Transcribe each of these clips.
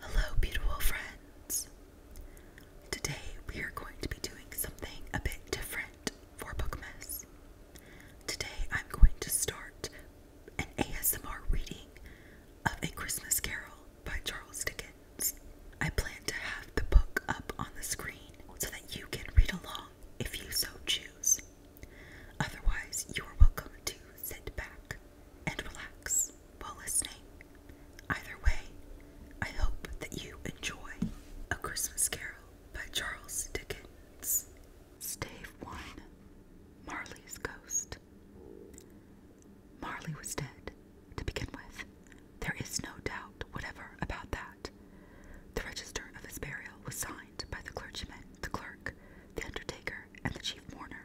Hello, beautiful friends. Today we are going to be doing something a bit different for Bookmas. Today I'm going to start an ASMR reading of A Christmas Carol by Charles Dickens. I plan to have the book up on the screen so that you can read along if you so choose. Otherwise, you are welcome to sit back, and relax while listening. Either way, I hope that you enjoy A Christmas Carol by Charles Dickens. Stave 1 Marley's Ghost. Marley was dead, to begin with. There is no doubt whatever about that. The register of his burial was signed by the clergyman, the clerk, the undertaker, and the chief mourner.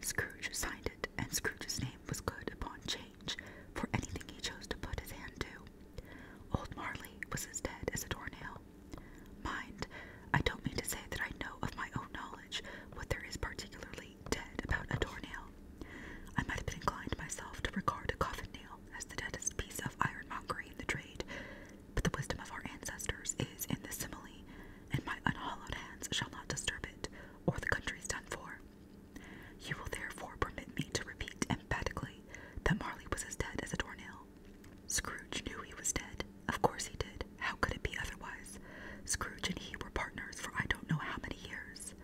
Scrooge signed it, and Scrooge's name was good upon change for anything he chose to put his hand to. Old Marley was as dead as a door nail. Mind, I don't mean to say that I know of my own knowledge what there is particularly dead about a door nail. I might have been inclined myself to regard a coffin nail as the deadest piece of ironmongery in the trade, but the wisdom of our ancestors is in this simile, and my unhallowed hands shall not disturb it, or the country done for. You will therefore permit me to repeat emphatically that Marley was as dead as a doornail. Scrooge knew he was dead. Of course he did. How could it be otherwise? Scrooge and he were partners for I don't know how many years.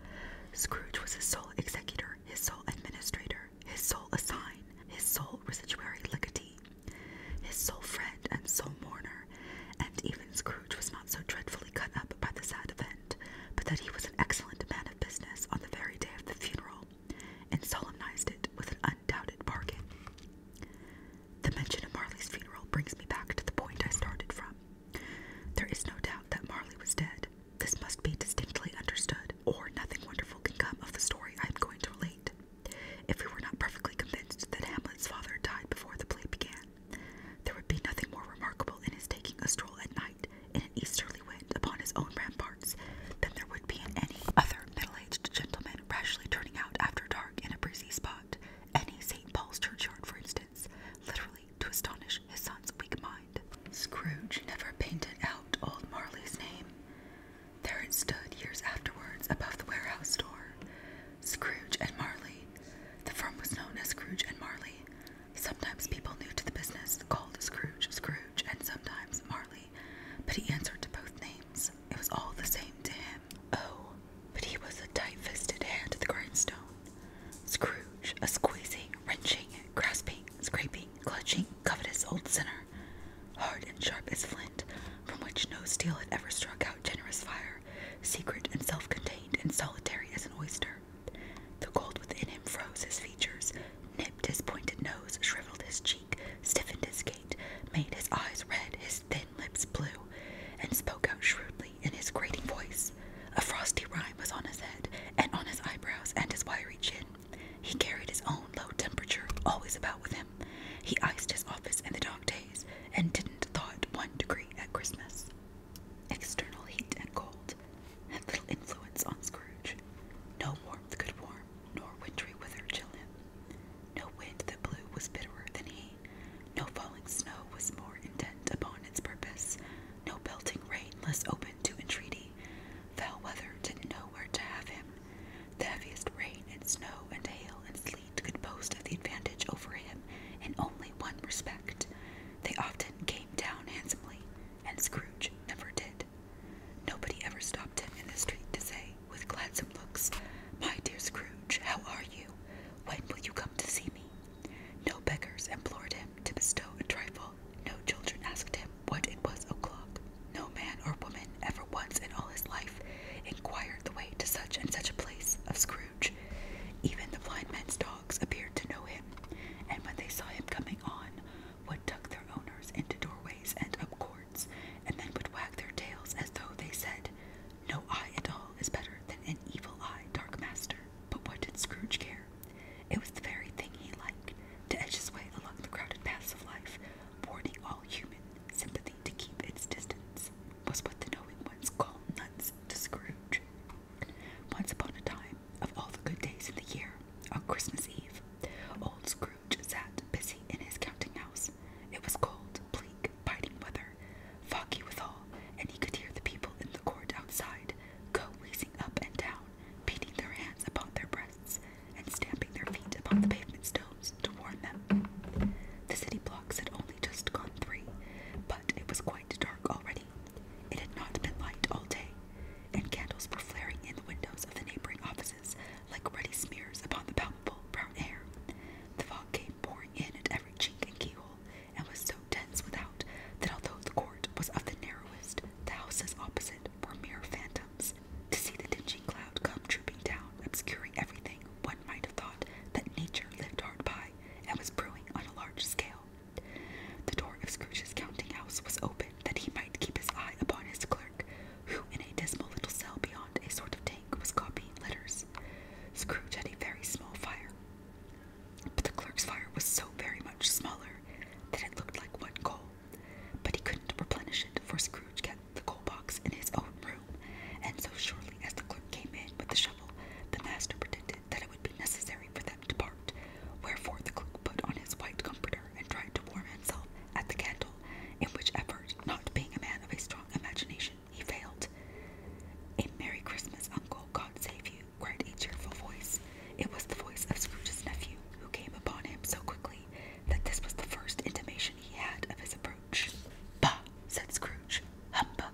Scrooge was his sole executor, his sole administrator, his sole assign, his sole residuary legatee, his sole friend and sole mourner and even Scrooge was not so dreadfully cut up by the sad event, but that he was an excellent man of business on the very day of the funeral, and solemnized it with an undoubted bargain. The mention of Marley's funeral brings me back to the point I started from. There is no doubt that Marley was dead. This must be distinctly understood, or nothing wonderful can come of the story I am going to relate. If we were not perfectly convinced that Hamlet's father died before the play began, there would be nothing more remarkable in his taking a stroll at night in an easterly wind upon his own ramparts than there would be in any other middle aged gentleman rashly turning out after dark in a breezy spot, any St. Paul's churchyard, for instance, literally to astonish his son's weak mind. Scrooge never painted out old Marley's name. There it stood years afterwards above the warehouse door, Scrooge and Marley. The firm was known as Scrooge and Marley. Sometimes people new to the business called Scrooge Scrooge and sometimes Marley, but he answered to both names. It was all the same to him. Oh, but he was a tight fisted hand to the grindstone. Scrooge, a squeezing, wrenching, grasping, scraping, clutching, covetous old sinner, hard and sharp as flint, from which no steel had ever struck out generous fire secret and self contained and solitary as an oyster. The cold within him froze his features, nipped his pointed nose, shriveled his cheek, stiffened his gait, made his eyes red, his thin lips blue, and spoke out shrewdly in his grating voice. A frosty rime was on his head, and on his eyebrows, and his wiry chin. He carried his own low temperature always about with him. He iced his office in the dog days, and didn't thaw it one degree at Christmas. External heat and cold had little influence on Scrooge. No warmth could warm, nor wintry weather chill him. No wind that blew was bitterer than he. No falling snow was more intent upon its purpose. No pelting rain less open to entreaty. Foul weather didn't know where to have him. The heaviest rain and snow and hail and sleet athlete could boast of the advantage over him in only one respect. They often came down handsomely, and Scrooge never did. Nobody ever stopped him in the street to say, with gladsome looks, My dear Scrooge, how are you? When will you come to see me? No beggars implored him to bestow a trifle. No children asked him what it was o'clock. No man or woman ever once in all his life inquired the way to such and such a place of Scrooge. Scrooge. Even the blind man's dogs appeared to know him, and when they saw him coming on, would tuck their owners into doorways and up courts, and then would wag their tails as though they said, No eye at all is better than an evil eye, dark master. But what did Scrooge care? It was the very thing he liked, to edge his way along the crowded paths of life, warning all human sympathy to keep its distance was what the knowing ones call nuts to Scrooge. Once upon a time, of all the good days in the year, on Christmas Eve, old Scrooge sat busy in his counting house. It was cold, bleak, biting weather, foggy withal, and he could hear the people in the court outside go wheezing up and down, beating their hands upon their breasts, and stamping their feet upon the pavement stones to warn them. The city blocks had only just gone three, but it was quite dark already. It had not been light all day, and candles were flaring in the windows of the neighboring offices like ruddy smears upon the palpable brown air. The fog came pouring in at every chink and keyhole, and was so dense without that although the court was of the narrowest, the houses opposite were mere phantoms. To see the dingy cloud come trooping down, obscuring everything, one might have thought that nature lived hard by and was brewing on a large scale. The door of Scrooge's counting house was open that he might keep his eye upon his clerk, who in a dismal little cell beyond a sort of tank was copying letters. Scrooge had a very small fire, but the clerk's fire was so very much smaller that it looked like one coal, but he couldn't replenish it, for Scrooge kept the coal box in his own room, and so shortly as the clerk came in with the shovel, the master pretended that it would be necessary for them to part, wherefore the clerk put on his white comforter and tried to warm himself at the candle, in which effort, not being a man of a strong imagination, he failed. A Merry Christmas, Uncle, God save you, cried a cheerful voice. It was the voice of Scrooge's nephew, who came upon him so quickly that this was the first intimation he had of his approach. Bah! said Scrooge. Humbug!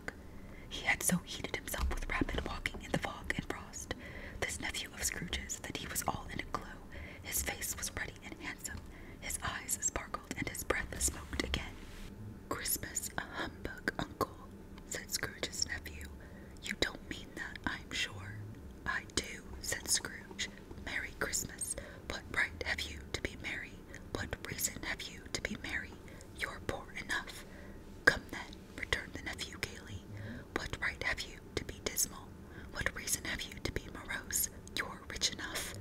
He had so heated himself with rapid walking in the fog and frost, this nephew of Scrooge's, that he was all in a glow. His face was ruddy and handsome, his eyes sparkled, and his breath smoked again. Christmas a humbug, uncle, said Scrooge's nephew. You don't mean that, I'm sure. I do, said Scrooge. Merry Christmas. What right have you to be merry what reason have you to be merry? You're poor enough. Come then, returned the nephew gaily. What right have you to be dismal? What reason have you to be morose? You're rich enough.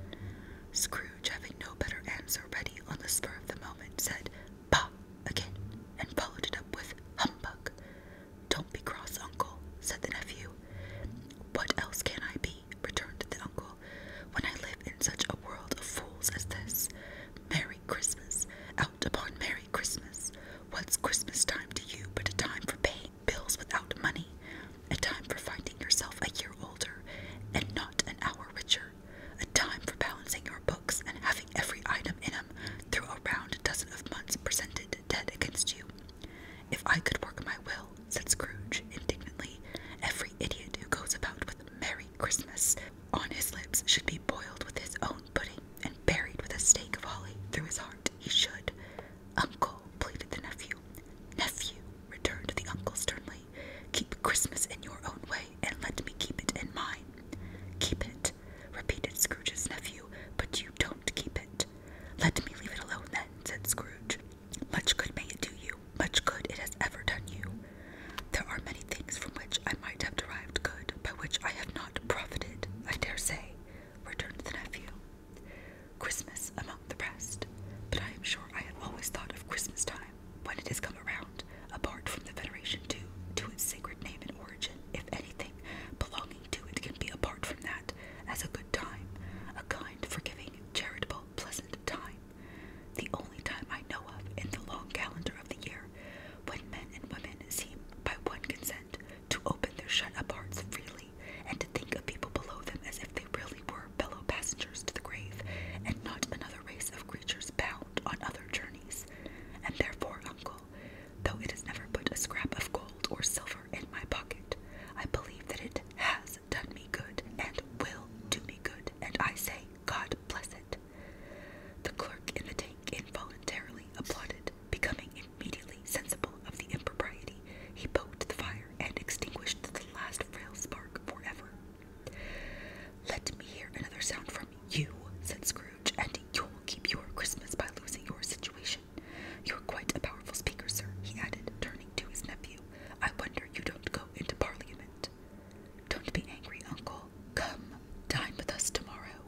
Scrooge, having no better answer ready on the spur of the moment, said, Bah! again, and followed it up with, Humbug! Don't be cross, uncle, said the nephew. What else can I be? returned the uncle when I live in such a world of fools as this. Merry Christmas, out upon Merry Christmas. What's Christmas time to you but a time for paying bills without money, a time for finding yourself a year older and not an hour richer, a time for balancing your books and having every item in them through a round dozen of months presented dead against you? If I could work my will, said Scrooge indignantly. "Every idiot who goes about with Merry Christmas on his lips should be boiled with his own pudding and buried with a stake of holly through his heart. He should." "Uncle," pleaded the nephew. "Nephew," returned the uncle sternly, "keep Christmas in your own way, and let me keep it in mine." "Keep it," repeated Scrooge's nephew, "but you don't keep it." "Let me leave it alone, then," said Scrooge. Much good may it do you, much good it has ever done you. There are many things from which I might have derived good, by which I have not profited, I dare say, returned the nephew. Christmas among the rest, but I am sure I have always thought of Christmas time, when it has come around, apart from the veneration due to its sacred name and origin, if anything belonging to it can be apart from that, as a good time, a kind, forgiving, charitable, pleasant time, the only time I know of in the long calendar of the year, when men and women seem by one consent to open their shut up hearts freely and to think of people below them as if they really were fellow passengers to the grave and not another race of creatures bound on other journeys. And therefore, uncle, though it has never put a scrap of gold or silver in my pocket, I believe that it has done me good and will do me good, and I say, God bless it. The clerk in the tank involuntarily applauded. Becoming immediately sensible of the impropriety, he poked the fire and extinguished the last frail spark for ever. Let me hear another sound from you, said Scrooge, and you'll keep your Christmas by losing your situation. You're quite a powerful speaker, sir, he added, turning to his nephew. I wonder you don't go into Parliament. Don't be angry, uncle. Come, dine with us tomorrow.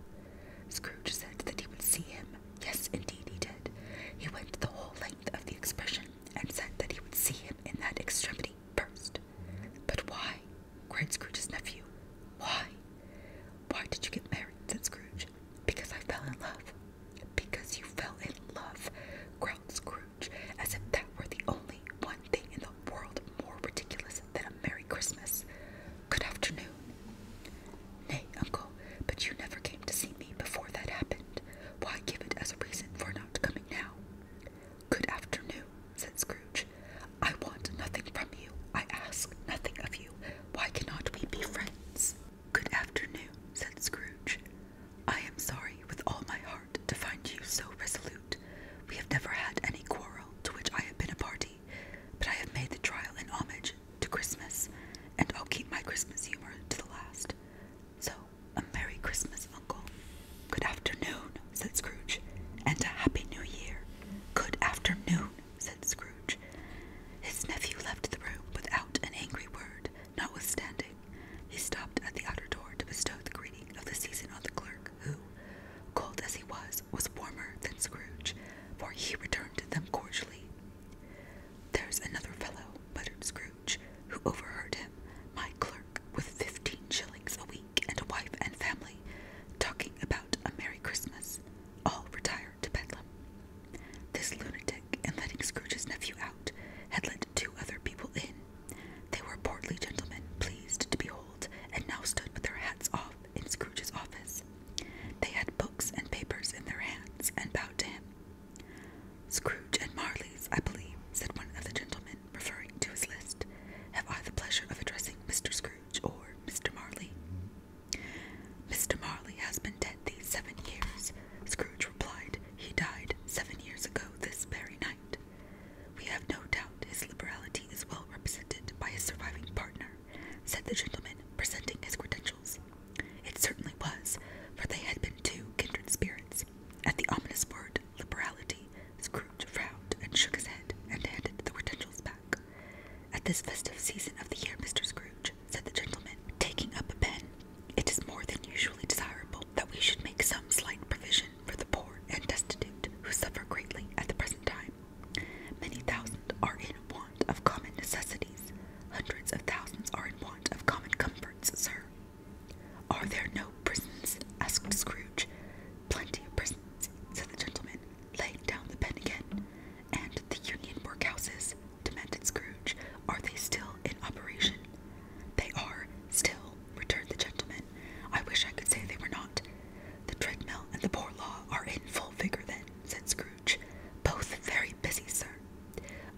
Scrooge said that he would see him. Yes, indeed he did. He went the whole length of the expression and said that he would see him in that extremity first. But why? cried Scrooge's nephew. Why? Why did you get married? said Scrooge. Because I fell in love. Because you fell in love, growled Scrooge as if that were the only one thing in the world more ridiculous than a Merry Christmas. Good afternoon. Nay, uncle, but you never came to see me before that happened. Why give it as a reason for not coming now? Good afternoon, said Scrooge. I want nothing from you. I ask nothing of you. Why cannot we be friends? Good afternoon, said Scrooge. I am sorry with all my heart to find you so resolute. We have never had any quarrel to which I have been a party, but I have made the trial in homage to Christmas, and I'll keep my Christmas humor to the last. So, a Merry Christmas, Uncle. Good afternoon, said Scrooge, and a Happy New Year. Good afternoon, said Scrooge. His nephew left the room without an angry word, Notwithstanding, he stopped at the outer door to bestow the greeting of the season on the clerk, who, cold as he was, was warmer than Scrooge, for he returned them cordially. There's another fellow, muttered Scrooge, who overheard him, my clerk, with fifteen shillings a week and a wife and family, talking about a Merry Christmas, all retired to Bedlam. This lunatic, in letting Scrooge's nephew out, had let two other people in they were portly gentlemen, pleased to behold, and now stood with their hats off in Scrooge's office. They had books and papers in their hands, and bowed to him. Scrooge and Marley's, I believe, said one of the gentlemen, referring to his list. Have I the pleasure of addressing Mr. Scrooge or Mr. Marley? Mr. Marley has been dead these seven years, Scrooge replied. He died seven years ago this very night." We have no doubt his liberality is well represented by his surviving partner, said the gentleman, presenting his credentials. It certainly was, for they had been two kindred spirits. At the ominous word liberality, Scrooge frowned and shook his head and handed the credentials back. At this festive season of the year, Mr. Scrooge, said the gentleman, taking up a pen it is more than usually desirable that we should make some slight provision for the poor and destitute who suffer greatly at the present time. Many thousands are in want of common necessities, hundreds of thousands are in want of common comforts, sir. Are there no prisons? asked Scrooge. Plenty of prisons, said the gentleman, laying down the pen again. And the union workhouses, demanded Scrooge, are they still in operation? They are still returned the gentleman. I wish I could say they were not. The treadmill and the poor law are in full vigor then, said Scrooge. Both very busy, sir.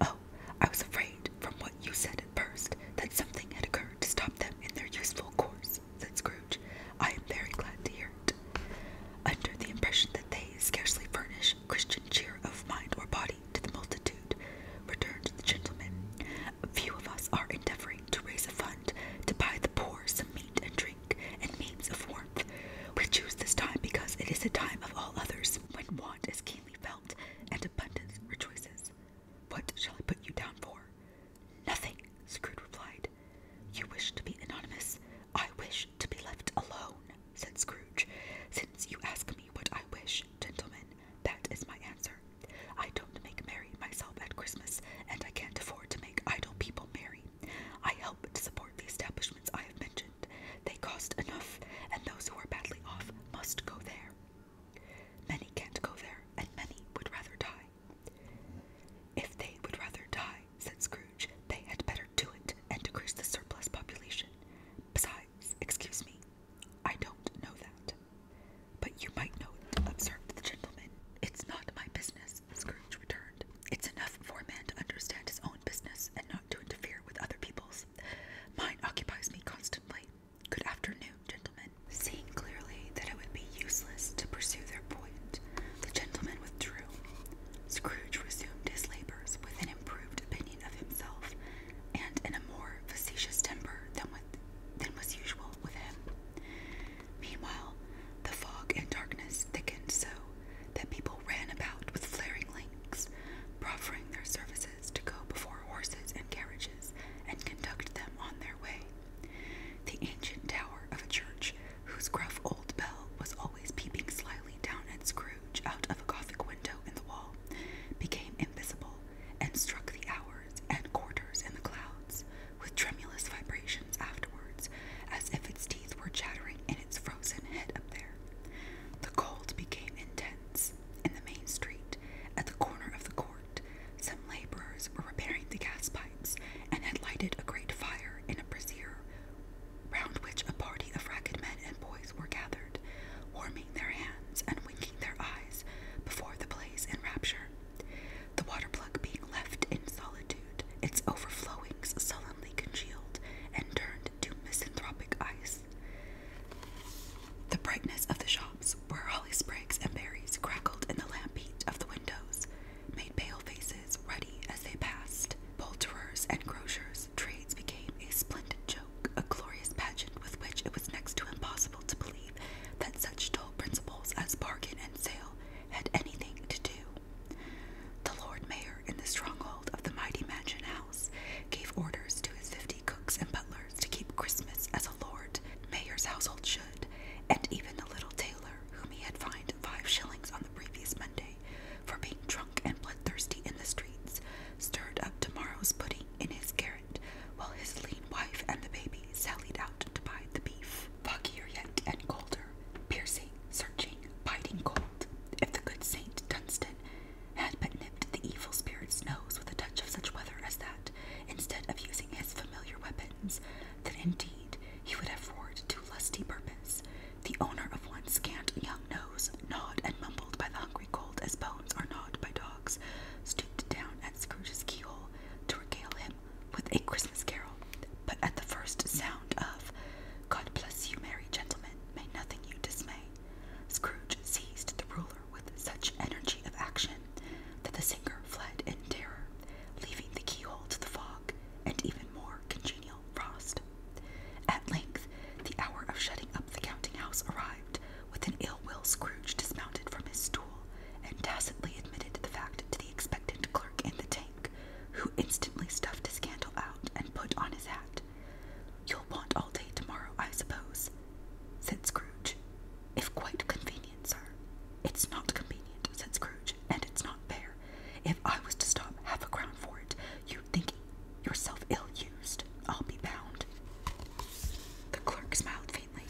Oh, I was afraid, from what you said at first, that something had occurred to stop them in their useful course, said Scrooge. I am very glad to hear it. Under the impression that they scarcely furnish Christian cheer of mind or body to the multitude, returned the gentleman. A few of us are endeavoring to raise a fund to buy the poor some meat and drink and means of warmth. We choose this time because it is a time of all others when want is keenly felt and abundance rejoices. What shall I put you down for? Nothing, Scrooge replied. You wish to be anonymous. I wish to be left alone, said Scrooge, since you ask me what I wish, gentlemen. That is my answer. I don't make merry myself at Christmas, and I can't afford to make idle people merry. I help to support the establishments I have mentioned. They cost enough, and those who are badly off must go there. Many can't go there, and many would rather die. If they would rather die, said Scrooge, they had better do it and decrease the surplus population. Besides, Excuse me, I don't know that. But you might know it, observed the gentleman. It's not my business, Scrooge returned. It's enough for a man to understand his own business and not to interfere with other people's. Mine occupies me constantly. Good afternoon, gentlemen. Seeing clearly that it would be useless to pursue their point, the gentleman withdrew. Scrooge resumed his labors with an improved opinion of himself and in a more facetious temper than, was usual with him. Meanwhile, the fog and darkness thickened so that people ran about with flaring links, proffering their services to go before horses and carriages and conduct them on their way. The ancient tower of a church, whose gruff old bell was always peeping slyly down at Scrooge out of a Gothic window in the wall, became invisible and struck the hours and quarters in the clouds with tremulous vibrations afterwards, as if its teeth were chattering in its frozen head up there. The cold became intense. In the main street, at the corner of the court, some laborers were repairing the gas pipes and had lighted a great fire in a brazier round which a party of ragged men and boys were gathered, warming their hands and winking their eyes before the blaze in rapture. The water plug being left in solitude, its overflowings sullenly congealed and turned to misanthropic ice. The brightness of the shops, where holly sprigs and berries crackled in the lamp heat of the windows, made pale faces ruddy as they passed. Poulterers and grocers, trades became a splendid joke a glorious pageant with which it was next to impossible to believe that such dull principles as bargain and sale had anything to do. The Lord Mayor, in the stronghold of the mighty mansion house, gave orders to his fifty cooks and butlers to keep Christmas as a Lord Mayor's household should, and even the little tailor, whom he had fined five shillings on the previous Monday for being drunk and bloodthirsty in the streets, stirred up tomorrow's pudding in his garret while his lean wife and the baby sallied out to buy the beef. fogier yet and colder, piercing, searching, biting cold. If the good Saint Dunstan had but nipped the evil spirit's nose with a touch of such weather as that, instead of using his familiar weapons, then indeed he would have roared to lusty purpose. The owner of one scant young nose, gnawed and mumbled by the hungry as poems are gnawed by dogs, stooped down at Scrooge's keyhole to regale him with a Christmas carol. But at the first sound of God bless you, merry gentlemen, may nothing you dismay, Scrooge seized the ruler with such energy of action that the singer fled in terror, leaving the keyhole to the fog and even more congenial frost. At length, the hour of shutting up the counting house arrived, with an ill will, Scrooge dismounted from his stool and tacitly admitted the fact to the expectant clerk in the tank, who instantly stuffed his candle out and put on his hat. You'll want all day tomorrow, I suppose, said Scrooge. If quite convenient, sir. It's not convenient, said Scrooge, and it's not fair. If I was to stop half a crown for it, you'd think yourself ill used, I'll be bound. The clerk smiled faintly.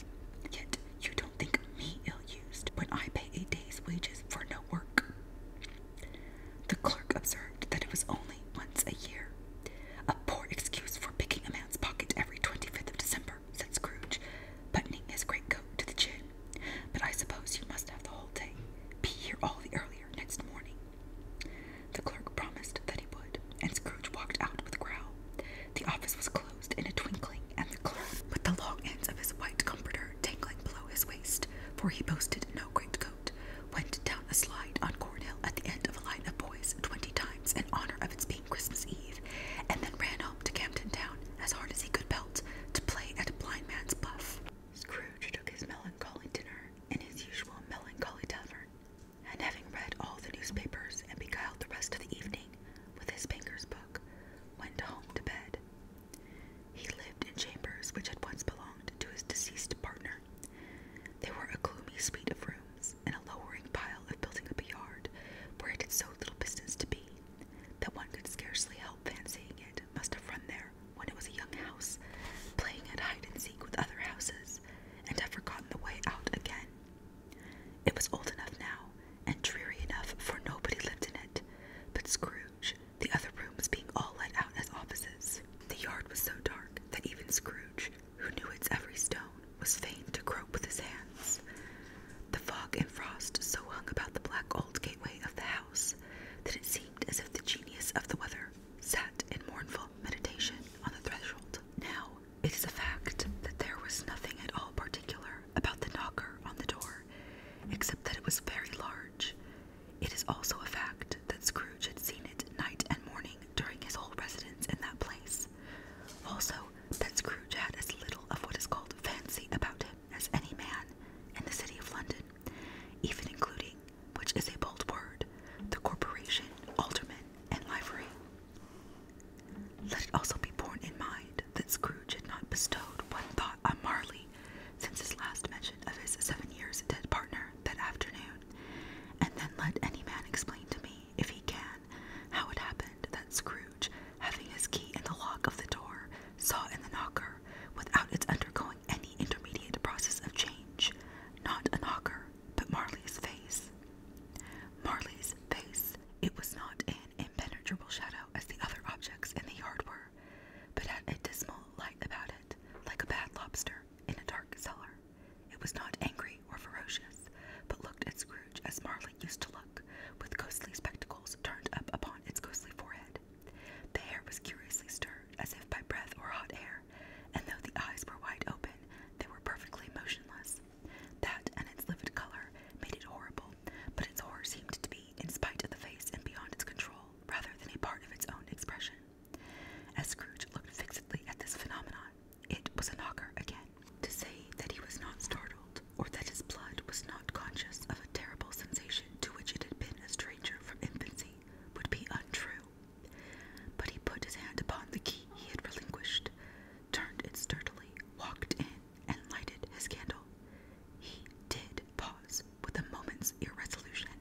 Yet you don't think me ill used when I pay a day's wages for no work. The clerk observed that it was only once a year. A poor excuse for picking a man's pocket every 25th of December, said Scrooge, buttoning his great coat to the chin. But I suppose you must have the whole day. Be here all the earlier next morning. The clerk promised that he would, and Scrooge walked out with a growl. The office was closed in a twinkling, and the clerk, with the long ends of his white comforter dangling below his waist, for he boasted no great coat, went down a slide on Cornhill at the end of a line of boys twenty times in honor of its being Christmas Eve, and then ran home to Camden Town as hard as he could belt to play at a blind man's buff. Scrooge took his melancholy dinner in his usual melancholy tavern, and having read all the newspapers and beguiled the rest of the evening with his banker's book, went home to bed. He lived in chambers which had once belonged to his deceased partner. They were a gloomy suite of rooms in a lowering pile of building up a yard where it had so little business to be that one could scarcely help fancying it must have run there when it was a young house, playing at hide and seek with other houses, house and had forgotten the way out again. It was old enough now and dreary enough for nobody lived in it but Scrooge, the other rooms being all let out as offices. The yard was so dark that even Scrooge, who knew its every stone, was fain to grope with his hands. The fog and frost so hung about the black old gateway of the house that it seemed as if the genius of the weather sat in mournful meditation on the threshold. Now, it is a fact that there was nothing at all particular about the knocker on the door, except that it was very large. It is also a fact that Scrooge had seen it night and morning during his whole residence in that place. Also, that Scrooge had as little of what is called fancy about him as any man in the city of London, even including which is a bold word, the corporation, alderman, and livery. Let it also be borne in mind that Scrooge had not bestowed one thought on Marley since his last mention of his seven years dead partner that afternoon, and then let any man explain to me, if he can, how it happened that Scrooge, having his key in the lock of the door, saw in the knocker, without its undergoing any intermediate process of change, not a knocker, but Marley's face, Marley's face, it was not an impenetrable shadow as the other objects in the yard were, but had a dismal light about it, like a bad lobster in a dark cellar. It was not angry or ferocious, but looked at Scrooge as Marley used to look, with ghostly spectacles turned up upon its ghostly forehead. The hair was curiously stirred, as if by breath or hot air, and though the eyes were wide open, they were perfectly motionless. That and its livid color made it horrible, but its horror seemed to be, in spite of the face and beyond its control, rather than a part of its own expression. As Scrooge looked fixedly at this phenomenon, it was a knocker again. To say that he was not startled, or that his blood was not conscious of a terrible sensation to which it had been a stranger from infancy, would be untrue. But he put his hand upon the key he had relinquished, turned it sturdily, walked in, and lighted his candle. He did pause with a moment's irresolution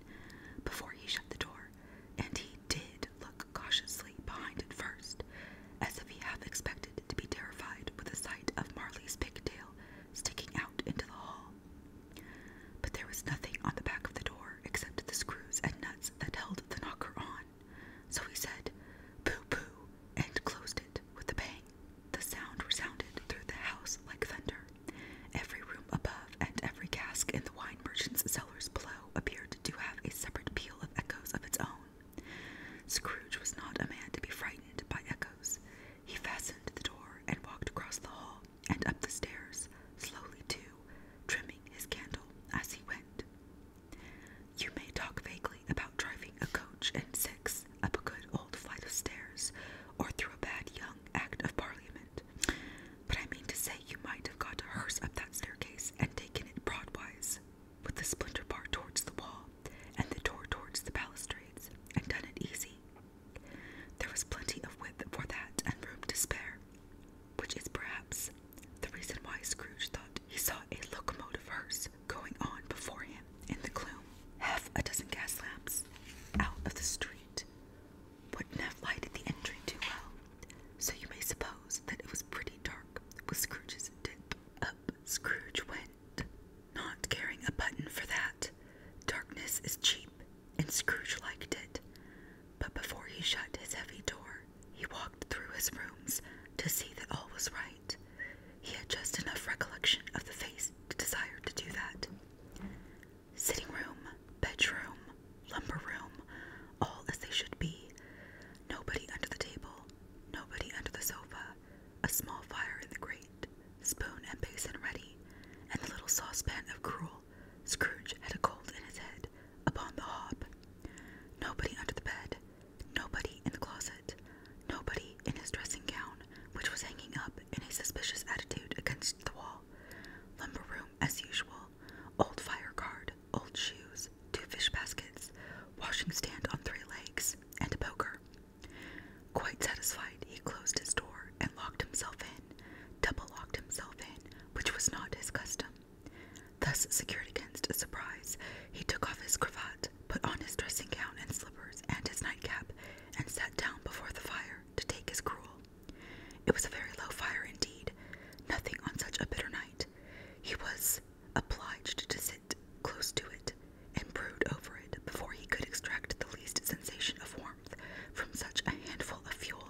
before he shut the door, and he did look cautiously behind it first, as if he half expected to be terrified with the sight of Marley's pigtail sticking out into the hall. But there was nothing on the back of the door except the screws and nuts that held the knocker on. So he said, Pooh pooh, and closed it with a bang. The sound resounded through the house like thunder. Every room above and every cask in the wine merchant's cellars below appeared to have a separate peal of echoes of its own. Scrooge was not a man to be frightened by echoes. He fastened the door and walked across the hall and up the stairs, slowly too, trimming his candle as he went. You may talk vaguely about driving a coach and six up a good old flight of stairs or through a bad young act of parliament, but I mean to say you might have got a hearse up that staircase and taken it broadwise, with the splinter bar towards the wall and the door towards the balustrades, and done it easy. There was plenty of width for that and room to spare which is perhaps the reason why Scrooge thought he saw a locomotive hearse going on before him in the gloom. Half a dozen gas lamps out of the street wouldn't have lighted the entry too well, so you may suppose that it was pretty dark with Scrooge's dip. Up Scrooge went, not caring a button for that. Darkness is cheap, and Scrooge liked it. But before he shut his heavy door, he walked through his rooms to see that all was right. He had just enough recollection of the face to desire to do that. Sitting room, bedroom, lumber room, all as they should be. Nobody under the table, nobody under the sofa, a small fire in the grate, spoon and basin ready, and the little saucepan of gruel Scrooge had a cold in his head, upon the hob. Nobody under the bed, nobody in the closet, nobody in his dressing gown, which was hanging up in a suspicious attitude against the wall. Lumber room as usual, old fire card, old shoes, two fish baskets, washing stand on three legs, and a poker. Quite satisfied, he closed his door and locked himself in, double locked himself in, which was not his custom. Thus secured against a surprise, he took off his cravat, put on his dressing gown and slippers and his nightcap, and sat down before the fire to take his gruel. It was a very low fire indeed, nothing on such a bitter night. He was obliged to sit close to it and brood over it before he could extract the least sensation of warmth from such a handful of fuel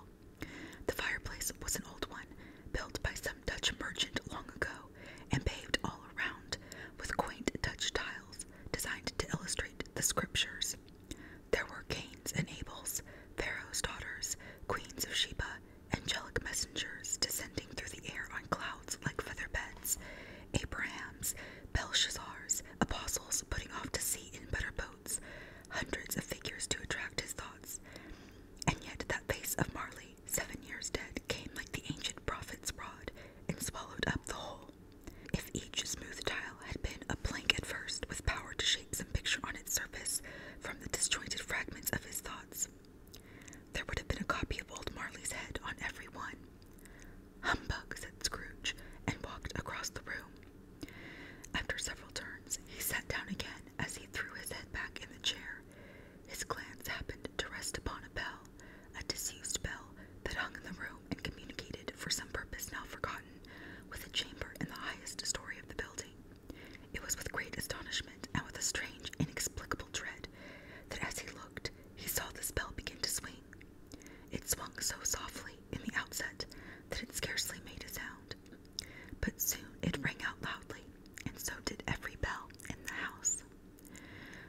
the fireplace was an old one, built by some Dutch merchant long ago, and paved all around with quaint Dutch tiles designed to illustrate the scriptures. There were Cain's and Abel's, Pharaoh's daughters, queens of Sheba, angelic messengers descending through the air on clouds like feather beds, Abraham's, Belshazzar's, apostles putting off to sea in better boats, hundreds of figures to attract his thoughts. And yet that face of Marley, seven years dead, came like the ancient prophet's rod and swallowed up the whole. If each smooth tile had been a plank at first, with power to shape some picture on its surface from the disjointed fragments of his thoughts, there would have been a copy of old Marley's head on every one. Humbug, said Scrooge, and walked across the room. After several turns, he sat down again as he threw his head back in the chair. His glance happened to rest upon a bell, a disused bell that hung in the room and communicated, for some purpose now forgotten, with a chamber in the highest story of the building. It was with great astonishment and with a strange, inexplicable dread that as he looked, he saw the bell begin to swing. It swung so softly in the outset that it scarcely made a sound, but soon it rang out loudly, and so did every bell in the house.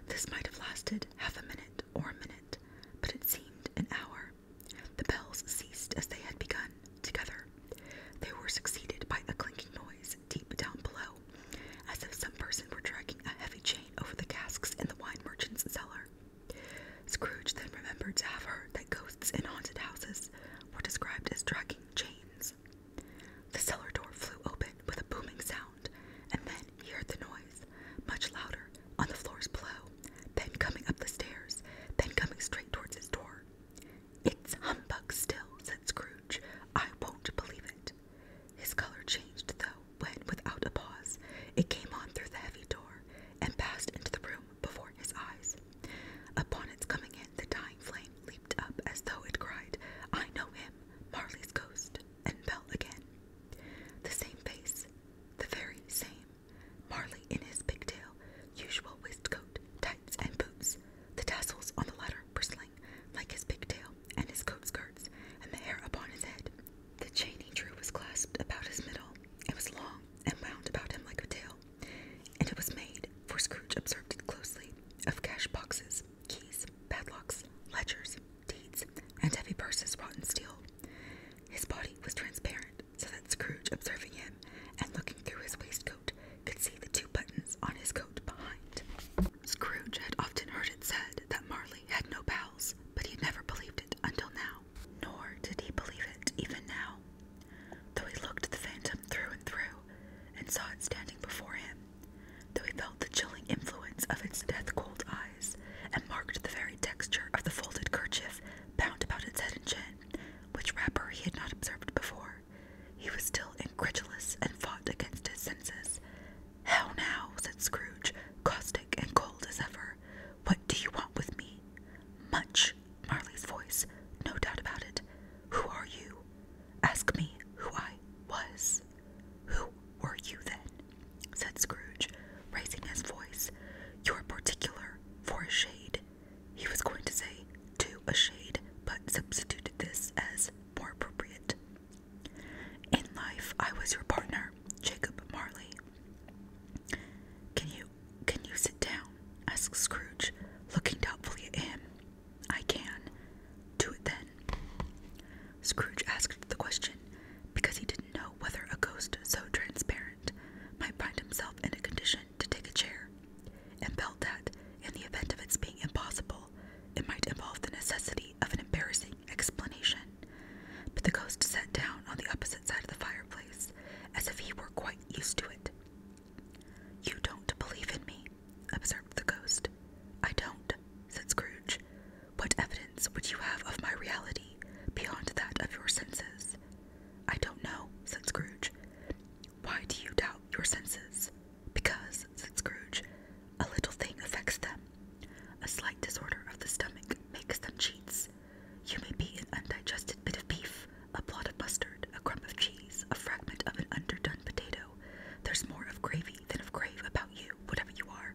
This might have lasted half a minute or a minute, but it seemed an hour. The bells ceased as they had begun, together. They were succeeded by a clinking noise deep down below, as if some person were dragging a heavy chain over the casks in the wine merchant's cellar. Scrooge then remembered to have heard that ghosts in haunted houses were described as dragging chains. The cellar door flew open with a booming sound, and then he heard the noise, much louder, on the floors below, then coming up the stairs, then coming straight towards his door. It's humbug still, said Scrooge. I won't believe it. His color changed, though, when, without a pause, it came on through the heavy door and passed into the room before his eyes. Upon its coming in, the dying flame leaped up as though it cried, I know him, Marley's ghost, and fell again. The same face, the very same, Marley in his pigtail, usual waistcoat, tights, and boots, the tassels on the latter bristling like his pigtail and his coat skirts, and the hair upon his head. The chain he drew was clasped about his middle. It was long and wound about him like a tail. And it was made, for Scrooge observed it closely, of cash boxes, keys, padlocks, ledgers, deeds, and heavy purses wrought in steel. His body was transparent, so that Scrooge, observing him and looking through his waistcoat, could see the two buttons on his coat behind. Scrooge had often heard it said that Marley had no bowels, but he had never believed it until now. Nor did he believe it even now, Though he looked the phantom through and through, and saw it standing before him, though he felt the chilling influence of its death cold eyes, and marked the very texture of the folded kerchief bound about its head and chin, which wrapper he had not observed before, he was still incredulous and fought against his senses. How now? said Scrooge, caustic and cold as ever. What do you want with me? Much, Marley's voice, no doubt about it. Who are you? Ask me who I was. Who were you then? said Scrooge, raising his voice. You're particular for a shade. He was going to say to a shade, but substituted this as more appropriate. In life, I was your partner, Jacob Marley. Can you can you sit down? asked Scrooge, looking doubtfully at him. I can. Do it then. Scrooge asked the question because he didn't know whether a ghost so transparent might find himself in a condition to take a chair, and felt that, in the event of its being impossible, it might involve the necessity of an embarrassing explanation. But the ghost sat down on the opposite side of the fireplace, as if he were quite used to it, you don't believe in me, observed the ghost. I don't, said Scrooge. What evidence would you have of my reality beyond that of your senses? I don't know, said Scrooge. Why do you doubt your senses? Because, said Scrooge, a little thing affects them. A slight disorder of the stomach makes them cheats. You may be an undigested bit of beef, a blot of mustard, a crumb of cheese, a fragment of an underdone potato. There's more of gravy than of grave about you, whatever you are.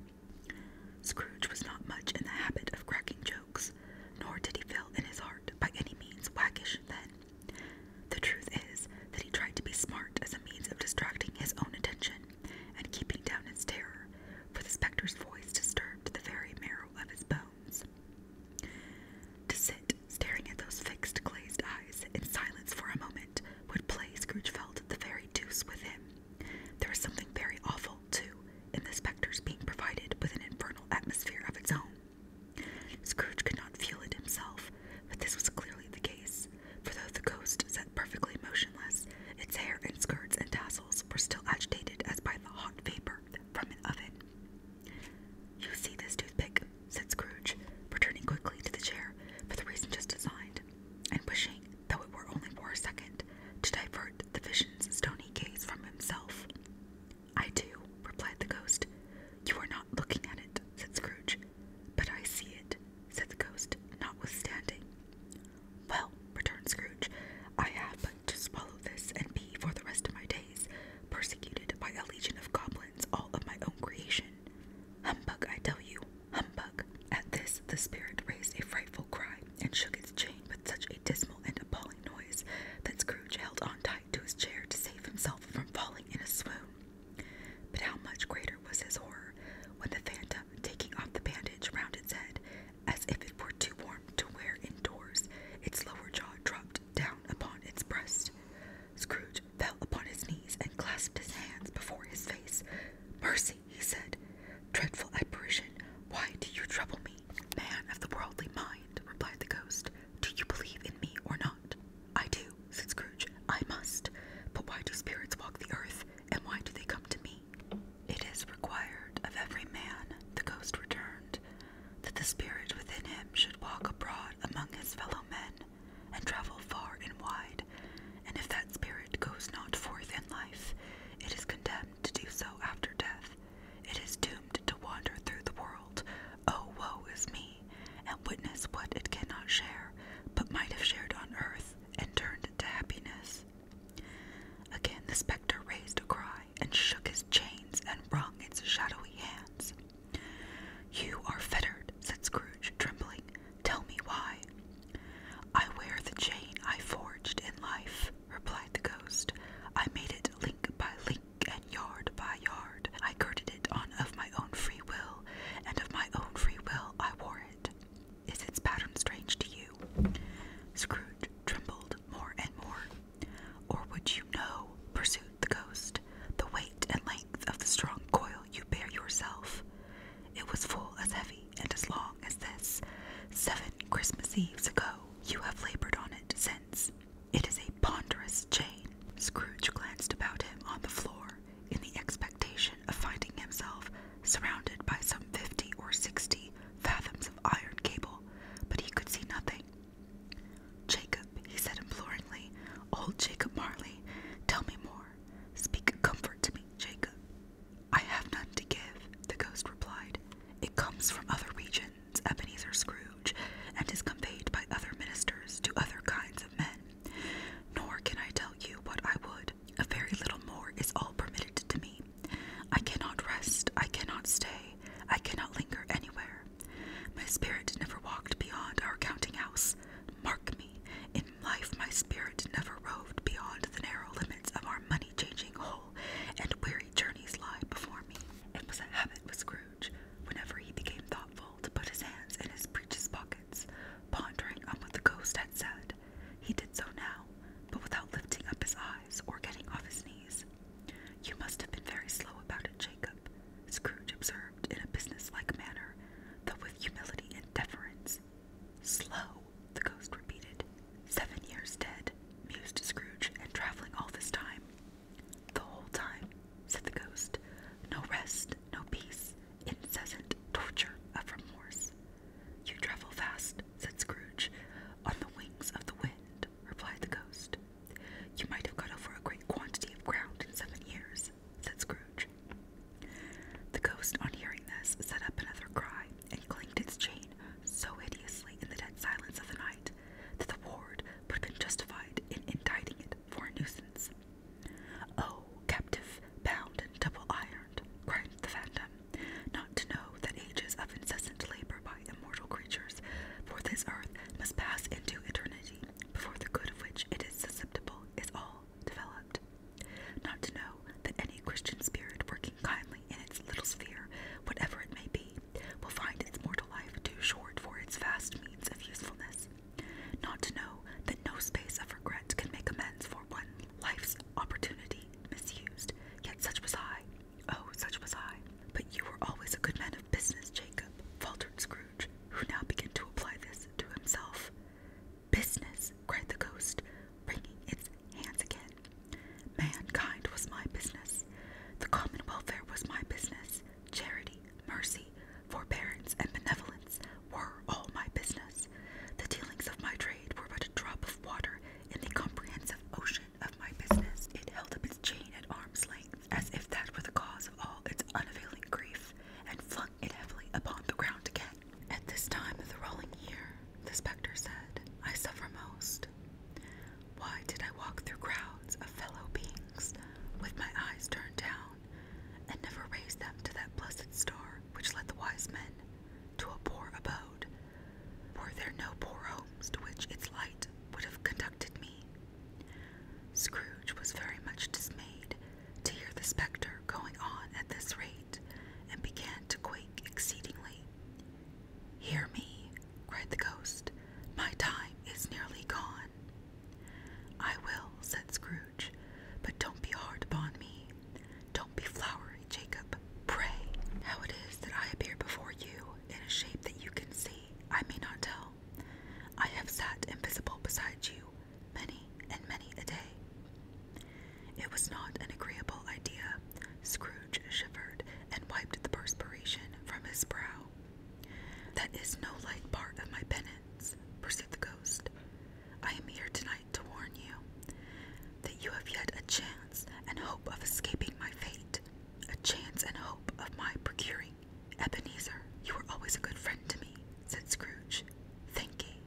Scrooge was not much in the habit of cracking jokes, nor did he feel in his heart by any means waggish then. The truth is that he tried to be smart as a means of distracting his own attention and keeping down his terror, for the spectre's voice disturbed the very marrow of his bones. To sit staring at those fixed, glazed eyes in silence for a moment would play, Scrooge felt, the very deuce with There was something very awful, too, in the spectre's being provided with an infernal atmosphere of its own. Scrooge could not feel it himself, but this was clearly the case, for though the ghost sat perfectly motionless, its hair and skirts and tassels were still agitated as by the hot vapor from an oven. You see this toothpick? said Scrooge, returning quickly to the chair for the reason just assigned, and wishing, though it were only for a second, to divert the vision's stony gaze from himself. I do, replied the ghost. You are not looking at it, said Scrooge. But I see it, said the ghost, notwithstanding. Well, returned Scrooge, I have but to swallow this and be, for the rest of my days, persecuted by a legion of goblins, all of my own creation. Humbug, I tell you, humbug. At this, the spirit raised a frightful cry and shook its chain with such a dismal and appalling noise that Scrooge held on tight to his chair to save himself from falling in a swoon. But how much greater was his horror when the phantom, taking off the bandage round its head, as if it were too warm to wear indoors, its lower jaw dropped down upon its breast. Scrooge fell upon his knees and clasped his hands before his face. Mercy, he said, dreadful apparition, why do you trouble me? Man of the worldly mind, replied the ghost, do you believe in me or not? I do, said Scrooge, I must. But why do spirits walk the earth, and why do they come to me? It is required of every man, the ghost returned, that the spirit within him should walk abroad among his fellow men and travel far and wide, and if that spirit goes not forth in life, it is condemned to do so after death. It is doomed to wander through the world. Oh, woe is me! And witness what it cannot share, but might have shared on earth and turned to happiness. Again the spectre raised a cry, and shook his chains and wrung its shadowy hands. You are fettered, said Scrooge, trembling. Tell me why. I wear the chain I forged in life, replied the ghost. I made it link by link and yard by yard. I girded it on of my own free will, and of my own free will I wore it. Is its pattern strange to you? Scrooge trembled more and more. Or would you know, pursued the ghost, the weight and length of the strong coil you bear yourself? It was full as heavy and as long as this. Seven Christmas Eves ago, you have labored on it since. It is a ponderous chain. Scrooge glanced about him on the floor in the expectation of finding himself surrounded by some fifty or sixty fathoms of iron cable, but he could see nothing. Jacob, he said imploringly, old Jacob Marley, tell me more. Speak comfort to me, Jacob. I have none to give, the ghost replied. It comes from other regions, Ebenezer Scrooge, and is conveyed by other ministers to other kinds of men. Nor can I tell you what I would. A very little more is all permitted to me. I cannot rest, I cannot stay, I cannot linger anywhere. My spirit never walked beyond our counting house. Mark me, in life my spirit never roved beyond the narrow limits of our money changing hole, and weary journeys lie before me. It was a habit with Scrooge, whenever he became thoughtful, to put his hands in his breeches pockets, pondering on what the ghost had said. He did so now, but without lifting up his eyes or getting off his knees. You must have been very slow about it, Jacob, Scrooge observed in a businesslike manner, though with humility and deference. Slow, the ghost repeated. "Seven years dead, mused Scrooge, and traveling all this time. The whole time, said the ghost. No rest, no peace, incessant torture of remorse. You travel fast, said Scrooge. On the wings of the wind, replied the ghost. You might have got over a great quantity of ground in seven years, said Scrooge. The ghost, on hearing this, set up another cry and clanked its chain so hideously in the dead silence of the night that the ward would have been justified in indicting it for a nuisance. Oh, captive, bound, and double ironed, cried the phantom, not to know that ages of incessant labor immortal creatures, for this earth must pass into eternity, before the good of which it is susceptible is all developed. Not to know that any Christian spirit working kindly in its little sphere, whatever it may be, will find its mortal life too short for its vast means of usefulness. Not to know that no space of regret can make amends for one life's opportunity misused, yet such was I, Oh, such was I. But you were always a good man of business, Jacob, faltered Scrooge, who now began to apply this to himself. Business, cried the ghost, wringing its hands again. Mankind was my business. The common welfare was my business. Charity, mercy, forbearance, and benevolence were all my business. The dealings of my trade were but a drop of water in the comprehensive ocean of my business. It held chain at arm's length, as if that were the cause of all its unavailing grief, and flung it heavily upon the ground again. At this time of the rolling year, the spectre said, I suffer most. Why did I walk through crowds of fellow beings with my eyes turned down, and never raise them to that blessed star which led the wise men to a poor abode were there no poor homes to which its light would have conducted me? Scrooge was very much dismayed to hear the spectre going on at this rate, and began to quake exceedingly. Hear me, cried the ghost, my time is nearly gone. I will, said Scrooge, but don't be hard upon me. Don't be flowery, Jacob. Pray how it is that I appear before you in a shape that you can see, I may not tell. I have sat invisible beside you many and many a day. It was not an agreeable idea. Scrooge shivered and wiped the perspiration from his brow. That is no light part of my penance, pursued the ghost. I am here tonight to warn you that you have yet a chance and hope of escaping my fate. A chance and hope of my procuring. Ebenezer, you were always a good friend to me, said Scrooge. Thank ye.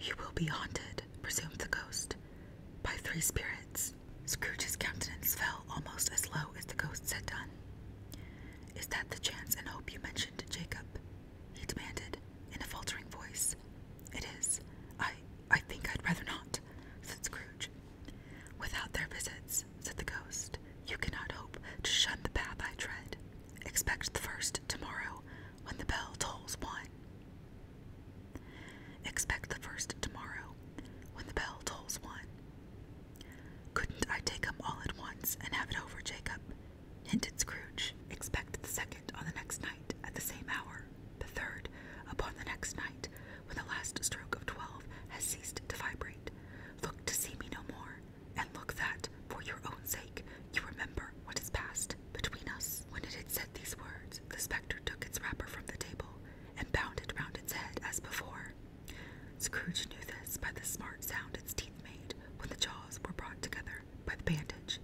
You will be haunted, presumed the ghost, by three spirits. Scrooge's countenance fell almost as low as the ghost's had done. Is that the chance and hope you mentioned, Jacob? he demanded, in a faltering voice. It is. I I think I'd rather not, said Scrooge. Without their visits, said the ghost, you cannot hope to shun the path I tread. Expect the first tomorrow when the bell tolls one. Expect the first tomorrow when the bell tolls one. Couldn't I take take 'em all at once and have it over, Jacob? Hinted Scrooge. Expect the second on the next night at the same hour, the third upon the next night when the last stroke of twelve has ceased to vibrate. Look to see me no more, and look that, for your own sake, you remember what has passed between us. When it had said these words, the spectre took its wrapper from the table and bound it round its head as before. Scrooge knew this by the smart sound its teeth made when the jaws were brought together by the bandage.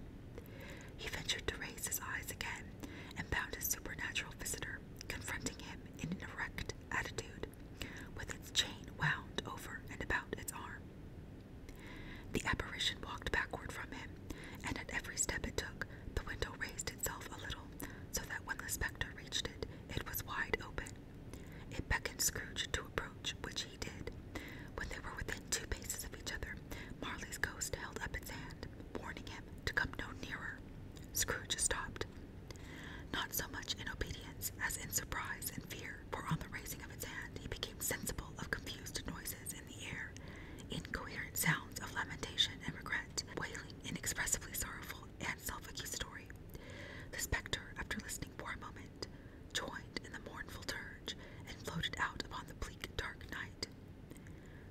He ventured to raise his eyes again and found his supernatural visitor confronting him in an erect attitude, with its chain wound over and about its arm. The apparition walked backward from him, and at every step it took, the window raised itself a little, so that when the spectre reached it, it was wide open. It beckoned Scrooge to approach, which he did. When they were within two paces of each other, Marley's ghost held up its hand, warning him him to come no nearer. Scrooge stopped, not so much in obedience as in surprise and fear, for on the raising of its hand he became sensible of confused noises in the air, incoherent sounds of lamentation and regret, wailing, inexpressibly sorrowful and self-accusatory. The spectre, after listening for a moment, joined in the mournful dirge and floated out upon the bleak dark night.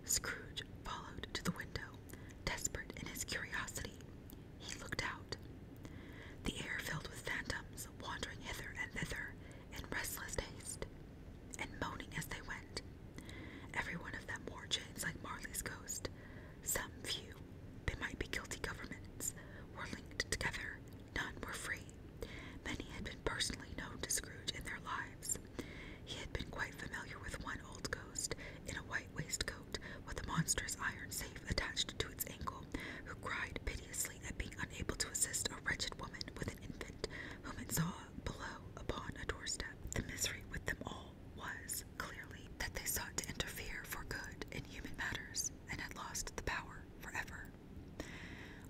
Scrooge followed to the window, desperate in his curiosity. He looked out. The air filled with phantoms wandering hither and thither in restless haste and moaning as they went. Every one of them wore chains like Marley's ghost. Some few, they might be guilty governments, were linked together. None were free. Many had been personally known to Scrooge in their lives. He had been quite familiar with one old ghost in a white waistcoat with a monstrous iron safe attached to its ankle, who cried piteously at being unable to assist a wretched woman with an infant whom it saw below upon a doorstep. The misery with them all was, clearly, that they sought to interfere for good in human matters and had lost the power forever.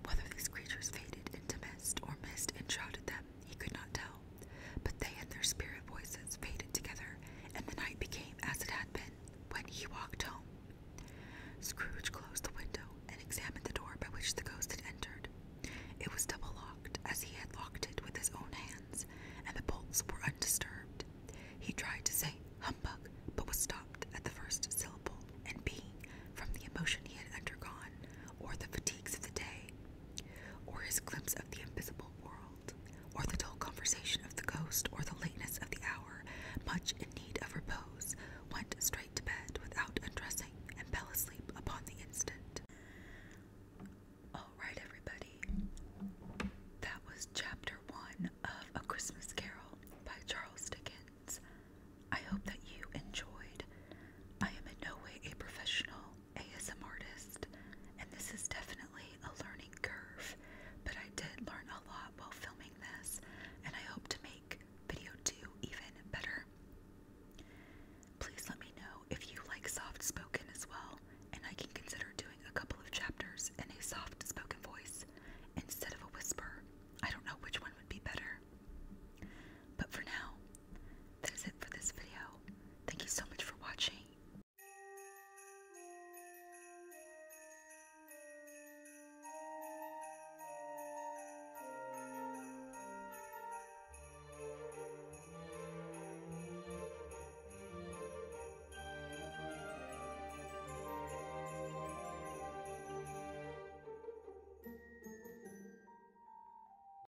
Whether these creatures faded into mist or mist enshrouded them, he could not tell, but they and their spirit voices faded together, and the night became as it had been when he walked home. Scrooge closed the window and examined the door by which the ghost had entered. It was double locked, as he had locked it with his own hands, and the bolts were undisturbed. He tried to say humbug, but was stopped at the first syllable, and being, from the emotion he had undergone, or the fatigues of the day, or his glimpse of the invisible world, or the dull conversation of the ghost, or the lateness of the hour, much in need of repose, went straight to bed without undressing and fell asleep upon the instant. Alright, everybody, that was chapter one of A Christmas Carol by Charles Dickens. I hope that you enjoyed. I am in no way a professional ASM artist, and this is definitely a learning curve, but I did learn a lot while filming this, and I hope to make video 2 even better. Please let me know if you like soft spoken as well, and I can consider doing a couple of chapters in a soft spoken voice instead of a whisper. I don't know which one would be better. But for now, that is it for this video. Thank you so much for watching.